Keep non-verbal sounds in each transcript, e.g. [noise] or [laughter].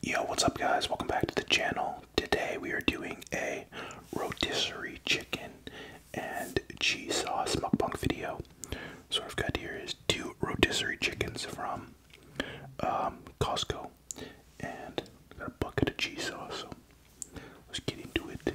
Yo, what's up, guys? Welcome back to the channel. Today we are doing a rotisserie chicken and cheese sauce mukbang video. So, what I've got here is two rotisserie chickens from um, Costco and a bucket of cheese sauce. So, let's get into it.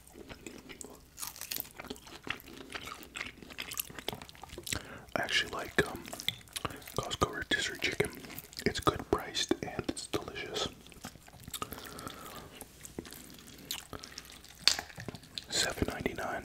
I actually like um, Costco rotisserie chicken. It's good priced and it's delicious. Seven ninety nine.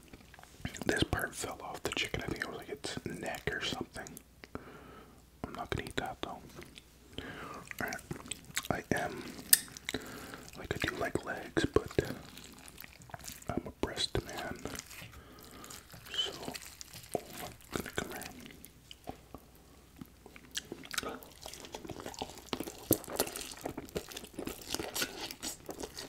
This part fell off the chicken. I think it was like its neck or something. I'm not gonna eat that though. I am like I do like legs, but I'm a breast man. So oh my gonna come here.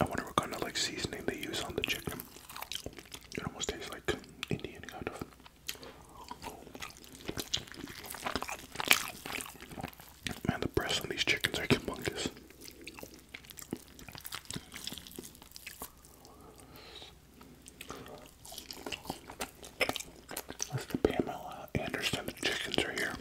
I wonder what kind of like seasoning they use on the chicken. It almost tastes like Indian kind of. Man, the breasts on these chickens are humongous. That's the Pamela Anderson the chickens are here.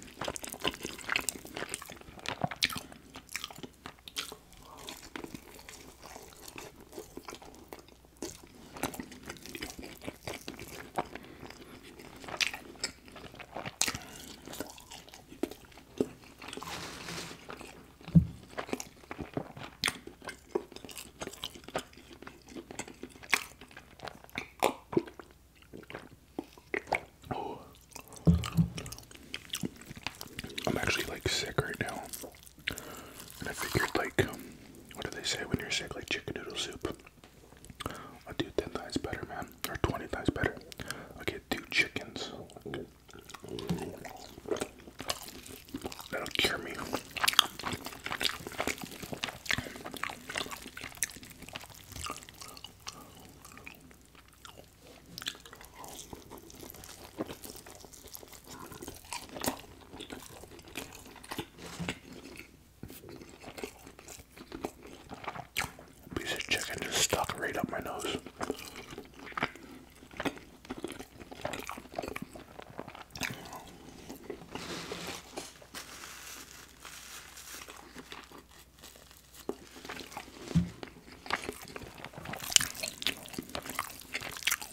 I'm actually like sick right now. And I figured, like, what do they say when you're sick? Like chicken noodle soup. i do 10 times better, man. Or 20 times better. I'll get two chickens. That'll cure me. Piece of chicken just stuck right up my nose.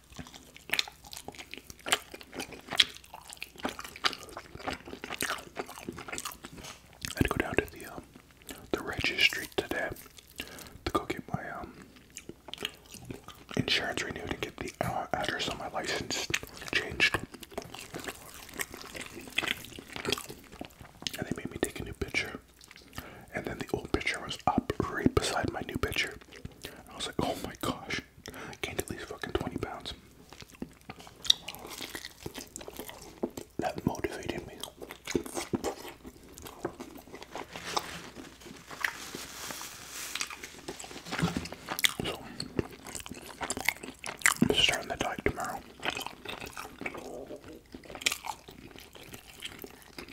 I had go down to the um, the registry today to go get my um, insurance renewed and get the uh, address on my license changed. And they made me take a new picture. And then the old picture was up right beside my new picture. I was like, oh my gosh. I gained at least fucking 20 pounds. That motivated me. starting the diet tomorrow.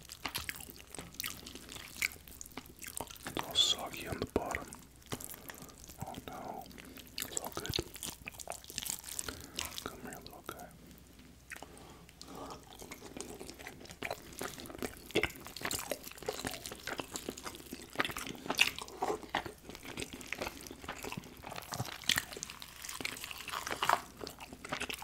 It's all soggy on the bottom. Oh no, it's all good. Come here, little guy.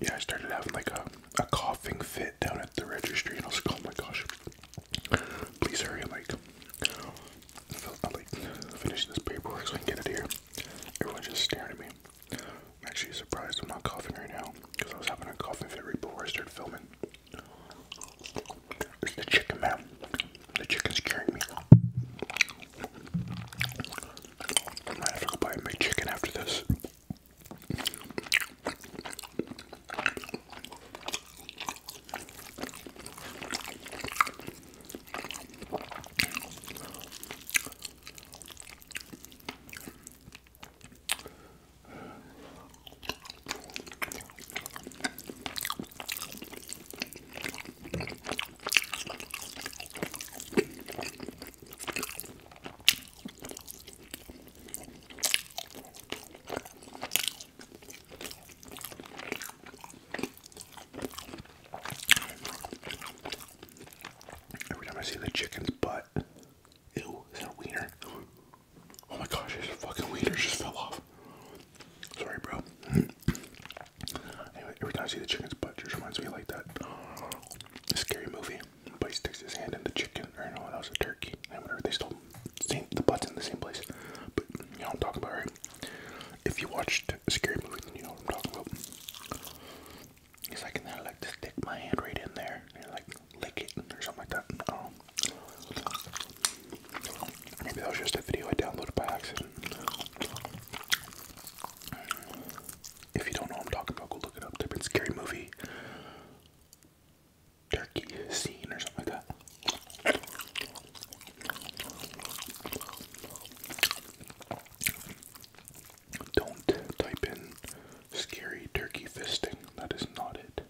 Yeah, I started having like a, a coughing fit down at the registry, and I was like, oh my gosh, please hurry and like, I'll like finish this paperwork so I can get it here. Everyone's just staring at me. I'm actually surprised I'm not coughing right now because I was having a coughing fit before I started filming. It's the chicken, man. The chicken's curing me. I might have to go buy a big after this. Every time I see the chicken's butt, Ew, that wiener? Oh my gosh, his fucking wiener just fell off. Sorry, bro. every time I see the chicken's butt, just reminds me like that uh, scary movie. But he sticks his hand in the chicken, or no, that was a turkey. And whatever, they still, same, the butt's in the same place. But you know what I'm talking about, right? If you watched a scary movie, then you know what I'm talking about. He's like, and then like to stick my hand right in there and like lick it or something like that. Um, maybe that was just a video I downloaded by accident. If you don't know what I'm talking about, go look it up. Type in scary movie turkey scene or something like that. Don't type in scary turkey fisting. That is not it.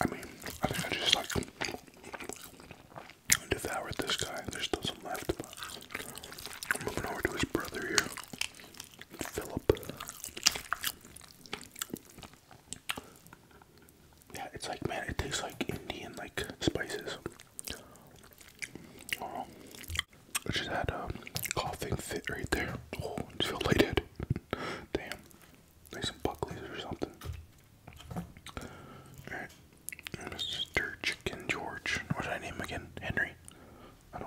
I mean, I think I just like devoured this guy. There's still some left. moving over to his brother here, Philip. Yeah, it's like man, it tastes like Indian like spices. I just had a coughing fit right there. Oh, I just feel lighted. Damn. Like some or something. Alright. Mr. Chicken George. What did name again? Henry. I do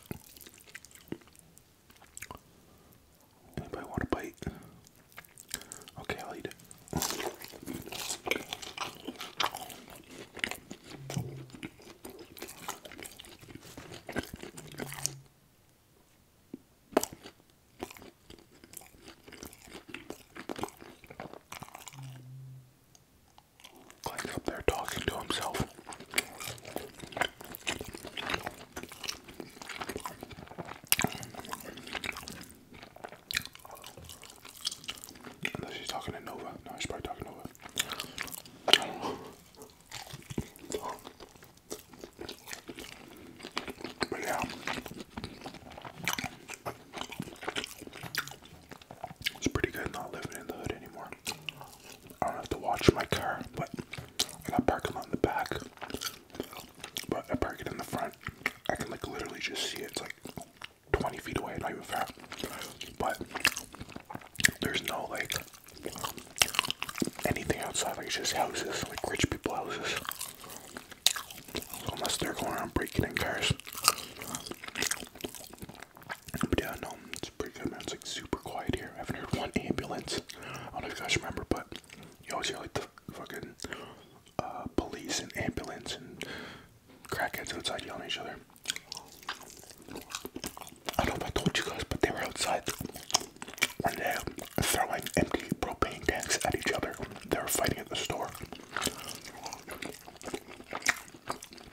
that. Anybody want a bite? Okay, I'll eat it. Clay's up there talking to himself. Unless she's talking to Nova. No, she's probably talking to Nova. But yeah. It's pretty good not living in the hood anymore. I don't have to watch my car, but I got parking lot in the back. But I park it in the front. I can like literally just see it. It's like 20 feet away, not even far. But there's no like anything outside, like it's just houses, like rich people houses. unless they're going around breaking in cars. But yeah, no, it's pretty good, It's like super quiet here. I haven't heard one ambulance. I don't know if you guys remember, but you always hear like the fucking uh, police and ambulance and crackheads outside yelling at each other. I don't know if I told you guys, but they were outside one day throwing empty propane tanks at each other. They were fighting at the store.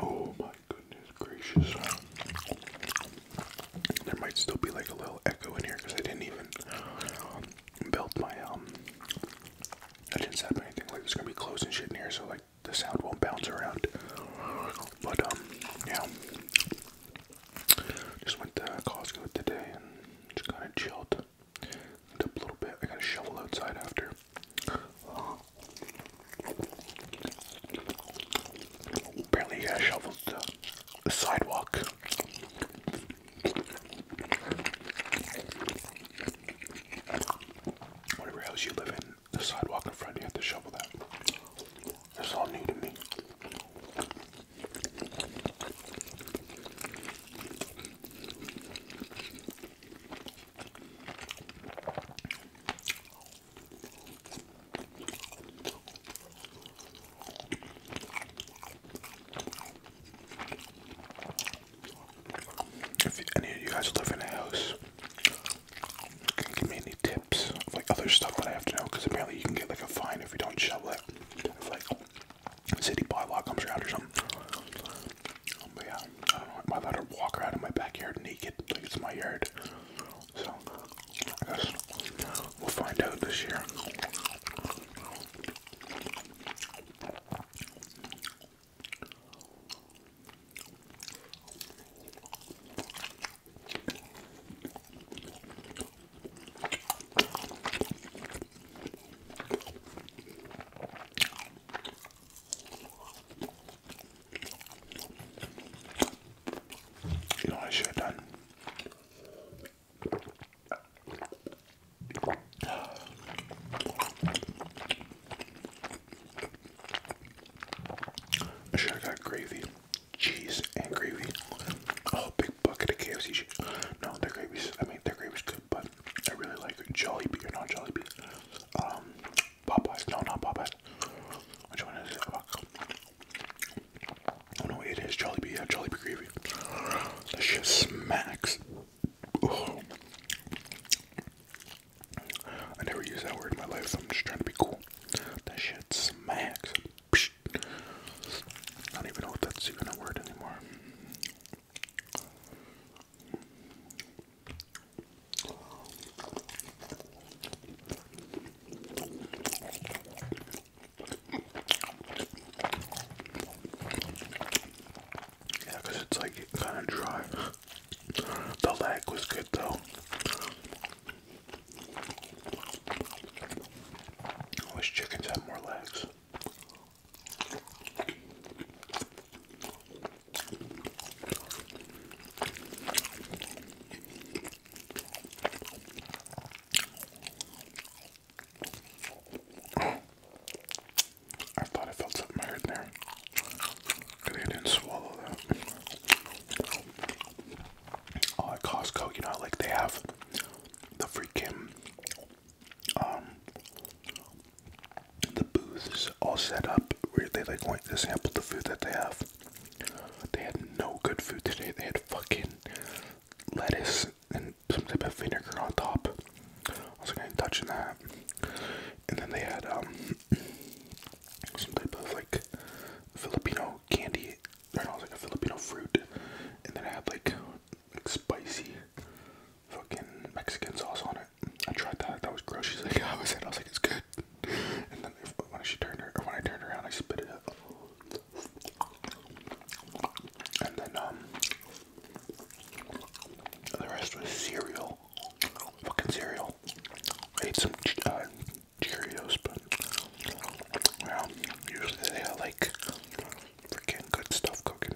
Oh my goodness gracious. There might still be like a little echo in here because I didn't even um, belt my um I didn't set up anything like there's gonna be clothes and shit in here so like the sound won't bounce around. But um yeah just went to Costco today and just kinda chilled. Dip a little bit. I got to shovel outside after. Uh, shoveled the, sidewalk. Whatever house you live in, the sidewalk in front, you have to shovel that. That's all new to me. If any of you guys live in a house, give me any tips like other stuff that I have to know because apparently you can get like a fine if you don't shovel it city bylaw comes around or something. But yeah, I don't walk around in my backyard naked? Like it's my yard. So I guess we'll find out this year. You know I should have done? I should have got gravy, cheese, and gravy. Oh, big bucket of KFC shit. No, their gravy I mean, their gravy's good, but I really like Jollibee, or not Jollibee, um, Popeyes, no, not Popeyes, which one is it, oh no, it is Jollibee, Jollibee gravy, that shit smacks, I never use that word in my life, I'm just trying to be cool, that shit smacks, I don't even know if that's even a word anymore. Yeah, it's like kind of dry. The lag was good though. I wish chickens had more legs. I thought I felt something weird there. I didn't swallow that uh, at Costco, you know, like they have the freaking um the booths all set up where they like want to sample the food that they have. They had no good food today. They had fucking lettuce and some type of vinegar on top. I wasn't even touching that. And then they had um [clears throat] some type of like Filipino candy I know, it like a Filipino fruit, and then it had like, like spicy fucking Mexican sauce on it. I tried that, that was gross. She's like, [laughs] I was like, It's good. And then when she turned her, or when I turned around, I spit it up. And then, um, the rest was cereal. Fucking cereal. I ate some uh, Cheerios, but well, usually they are like freaking good stuff cooking.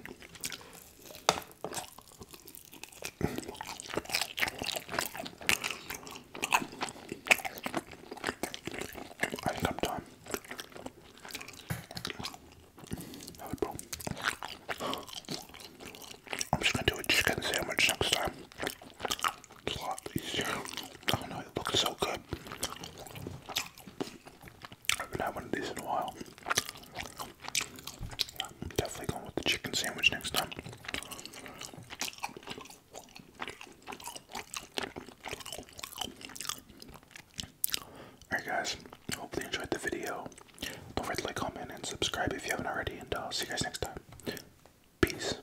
I'm done. I'm just gonna do a chicken sandwich next time. It's a I it looks so good. I haven't had one of these in a while. am definitely going with the chicken sandwich next time. Alright guys, hopefully enjoyed the video. Don't forget to like, comment, and subscribe if you haven't already, and I'll uh, see you guys next time. Peace.